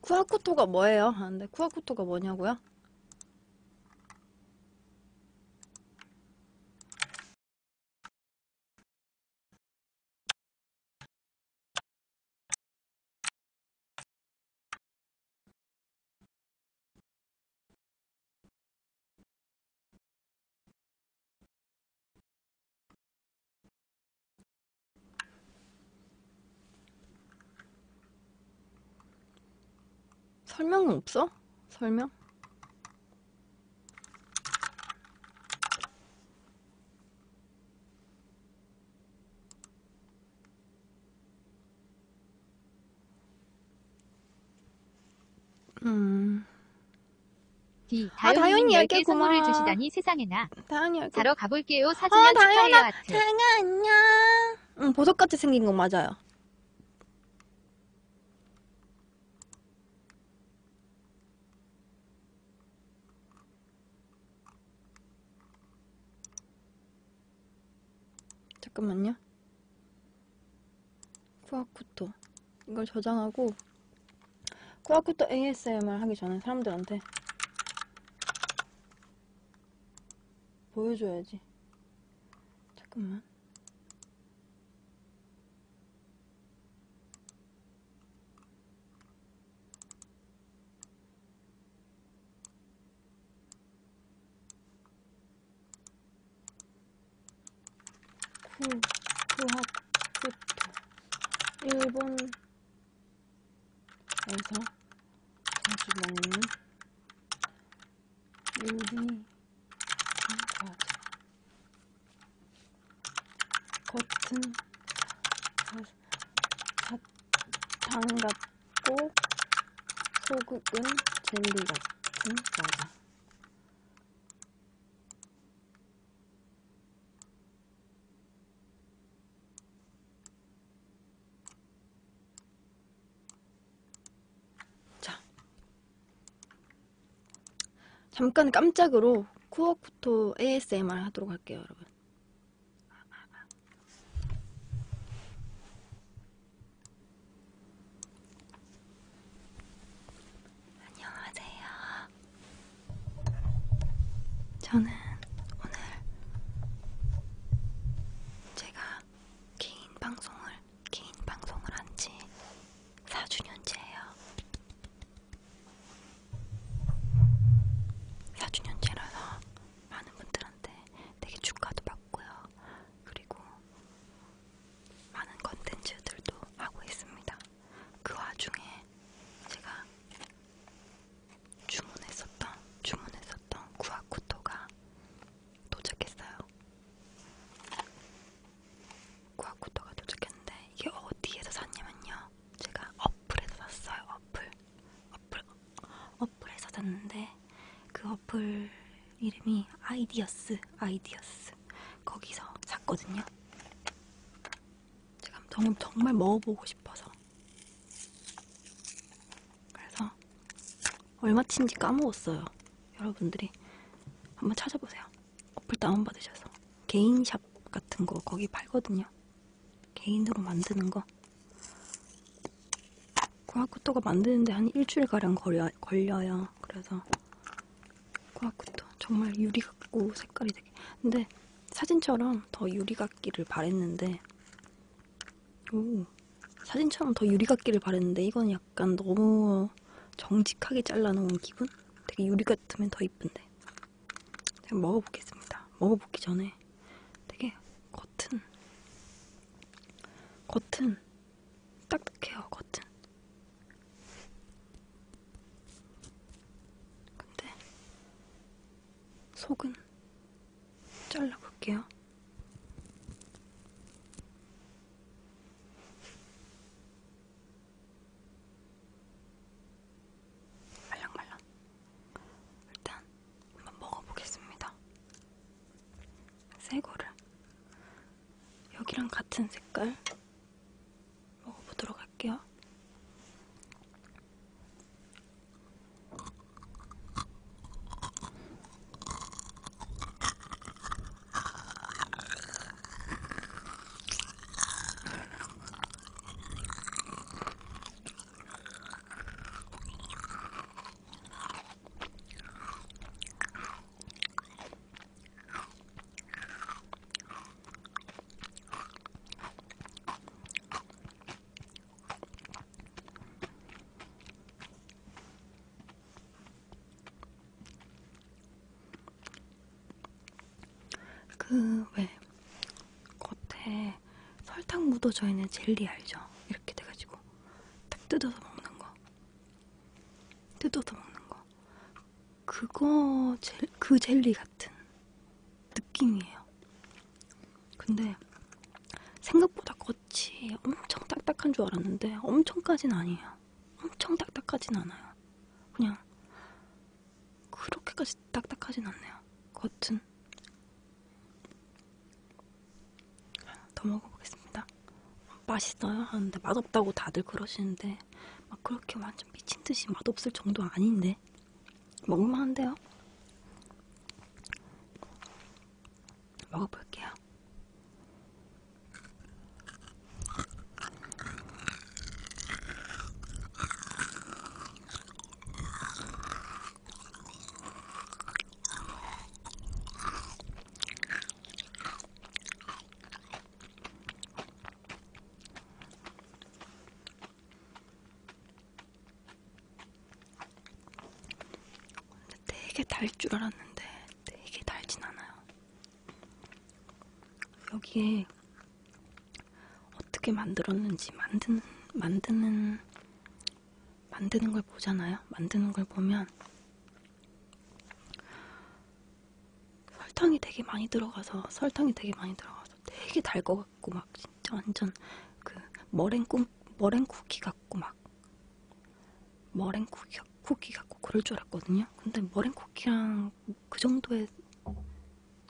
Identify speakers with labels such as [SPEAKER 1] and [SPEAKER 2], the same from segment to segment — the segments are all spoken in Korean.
[SPEAKER 1] 쿠아쿠토가 뭐예요? 아, 근데 쿠아쿠토가 뭐냐고요? 설명은 없어? 설명? 음. D. 아, 다현이 이렇게 고마워. 선물을 주시다니 세상에나. 다현이 이렇게. 자러 가볼게요. 사진은 아, 어, 축하해요 다현아, 아트. 다현아 안녕. 응, 보석같이 생긴 건 맞아요. 잠깐만요. 쿠아쿠토 이걸 저장하고 쿠아쿠토 ASMR 하기 전에 사람들한테 보여줘야지 잠깐만 구, 구학집도 일본에서 자주 먹는 요리 과자 겉은 사탕 같은 꼭 소금은 젤리 같은 과자 자 잠깐 깜짝으로 쿠어쿠토 ASMR 하도록 할게요 여러분 안녕하세요. 저는 오늘 제가 개인 방송을 개인 방송을 한 지 4주년째예요. 4주년째라서 많은 분들한테 되게 축하도 받고요. 그리고 많은 컨텐츠들도 하고 있습니다. 그 와중에 제가 주문했었던 주문했었던 구아쿠토가 도착했어요. 구아쿠토가 도착했는데 이게 어디에서 샀냐면요. 제가 어플에서 샀어요. 어플, 어플 어플에서 잤는데 그 어플 이름이 아이디어스 아이디어스 거기서 잤거든요. 제가 너무 정말 먹어보고 싶어서 그래서 얼마친지 까먹었어요. 여러분들이 한번 찾아보세요. 어플 다운받으셔서 개인샵 같은 거 거기 팔거든요. 개인으로 만드는 거 고아쿠토가 만드는데 한 일주일가량 걸려, 걸려요. 그래서 고아쿠토 정말 유리 같고 색깔이 되게 근데 사진처럼 더 유리 같기를 바랬는데 오 사진처럼 더 유리 같기를 바랬는데 이건 약간 너무 정직하게 잘라놓은 기분? 되게 유리 같으면 더 이쁜데 제가 먹어보겠습니다 먹어보기 전에 되게 겉은 겉은 딱딱해요, 겉은. 근데 속은 잘라볼게요. 말랑말랑. 일단 한번 먹어보겠습니다. 새거를 여기랑 같은 색깔 먹어보도록 할게요. 그, 왜, 겉에 설탕 묻어져 있는 젤리 알죠? 이렇게 돼가지고. 딱 뜯어서 먹는 거. 뜯어서 먹는 거. 그거 젤, 그 젤리 같은 느낌이에요. 근데 생각보다 겉이 엄청 딱딱한 줄 알았는데 엄청까진 아니에요. 엄청 딱딱하진 않아요. 그냥 그렇게까지 딱딱하진 않네요. 겉은 더 먹어보겠습니다. 맛있어요 하는데 맛없다고 다들 그러시는데 막 그렇게 완전 미친 듯이 맛없을 정도 아닌데 먹을만 한데요? 먹어볼게요. 되게 달 줄 알았는데 되게 달진 않아요. 여기에 어떻게 만들었는지 만드는 만드는 만드는 걸 보잖아요. 만드는 걸 보면 설탕이 되게 많이 들어가서 설탕이 되게 많이 들어가서 되게 달 것 같고 막 진짜 완전 그 머랭꿈 머랭 쿠키 같고 막 머랭 쿠키 쿠키 같고 그럴 줄 알았거든요. 근데 머랭 쿠키랑 그 정도의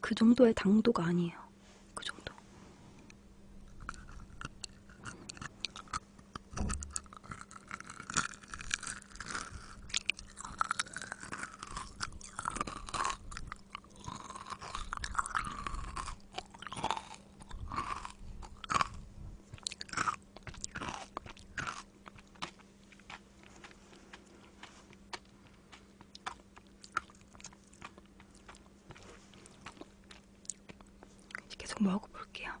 [SPEAKER 1] 그 정도의 당도가 아니에요. 그 정도. 계속 먹어볼게요. 뭐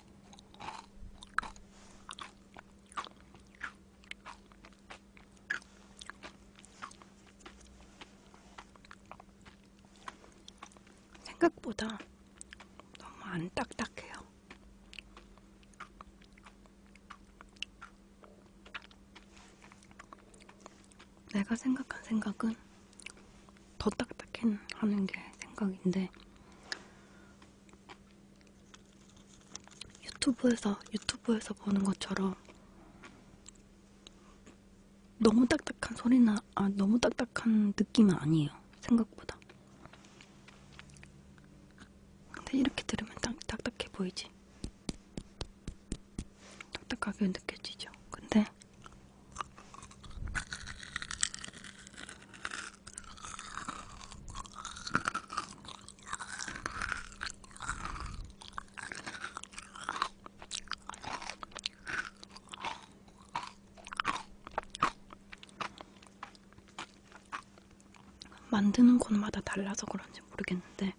[SPEAKER 1] 생각보다 너무 안 딱딱해요. 내가 생각한 생각은 더 딱딱해 하는 게 생각인데 유튜브에서 유튜브에서 보는 것처럼 너무 딱딱한 소리나 아 너무 딱딱한 느낌은 아니에요 생각보다 근데 이렇게 들으면 딱 딱딱해 보이지 딱딱하게 느껴지죠 근데 만드는 곳마다 달라서 그런지 모르겠는데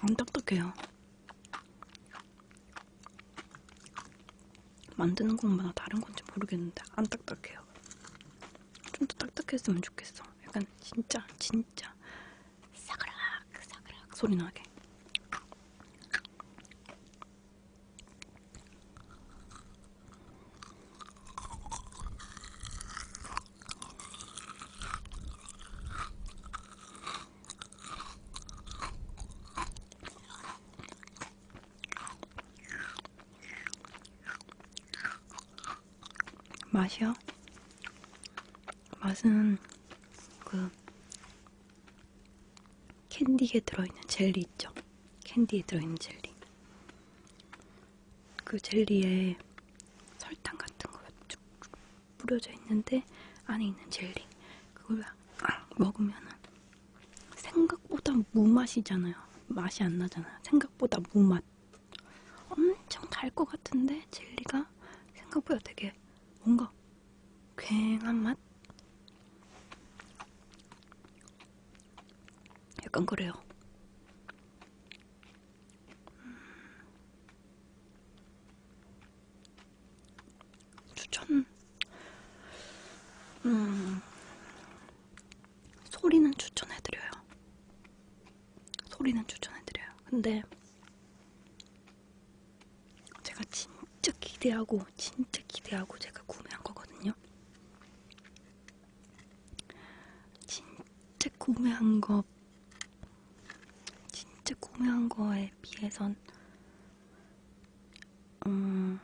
[SPEAKER 1] 안 딱딱해요. 만드는 것마다 다른 건지 모르겠는데 안 딱딱해요. 좀 더 딱딱했으면 좋겠어. 약간 진짜 진짜 사그락 사그락 소리 나게. 맛이요? 맛은 그 캔디에 들어있는 젤리 있죠? 캔디에 들어있는 젤리. 그 젤리에 설탕 같은 거 쭉쭉 뿌려져 있는데 안에 있는 젤리 그걸 먹으면은 생각보다 무맛이잖아요. 맛이 안 나잖아요. 생각보다 무맛. 엄청 달 것 같은데 젤리가 생각보다 되게 뭔가 괭한 맛? 약간 그래요. 음. 추천 음, 소리는 추천해드려요. 소리는 추천해드려요. 근데 제가 진짜 기대하고 진짜 기대하고 제가 구매한 거거든요. 진짜 구매한 거 진짜 꾸며한 거에 비해선 음,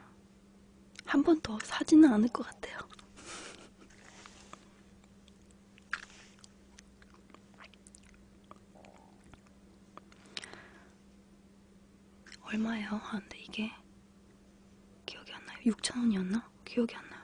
[SPEAKER 1] 한 번 더 사지는 않을 것 같아요. 얼마예요? 아, 근데 이게 기억이 안 나요. 6,000원이었나? 기억이 안 나요.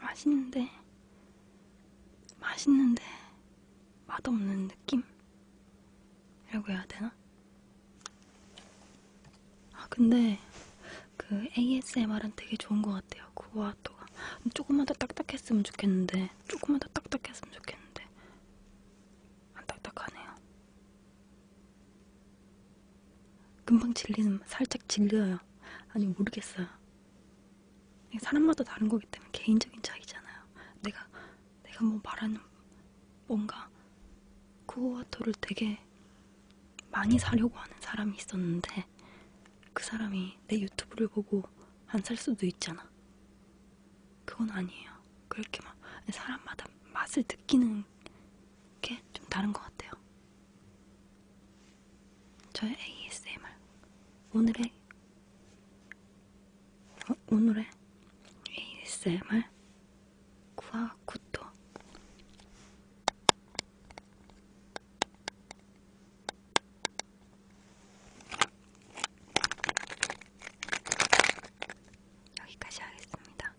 [SPEAKER 1] 맛있는데, 맛있는데, 맛없는 느낌? 이라고 해야 되나? 아, 근데, 그 ASMR은 되게 좋은 것 같아요. 그거 하다가 조금만 더 딱딱했으면 좋겠는데 때문에 조금만 더 딱딱했으면 좋겠는데 안 딱딱하네요. 금방 질리는 살짝 질려요. 아니 모르겠어요. 사람마다 다른 거기 때문에 개인적인 차이잖아요. 내가 내가 뭐 말하는 뭔가 쿠오와토를 되게 많이 사려고 하는 사람이 있었는데 그 사람이 내 유튜브를 보고 안 살 수도 있잖아. 그건 아니에요. 그렇게 막 사람마다 맛을 느끼는 게 좀 다른 것 같아요. 저의 ASMR 오늘의 어, 오늘의 ASMR 구아쿠토 여기까지 하겠습니다.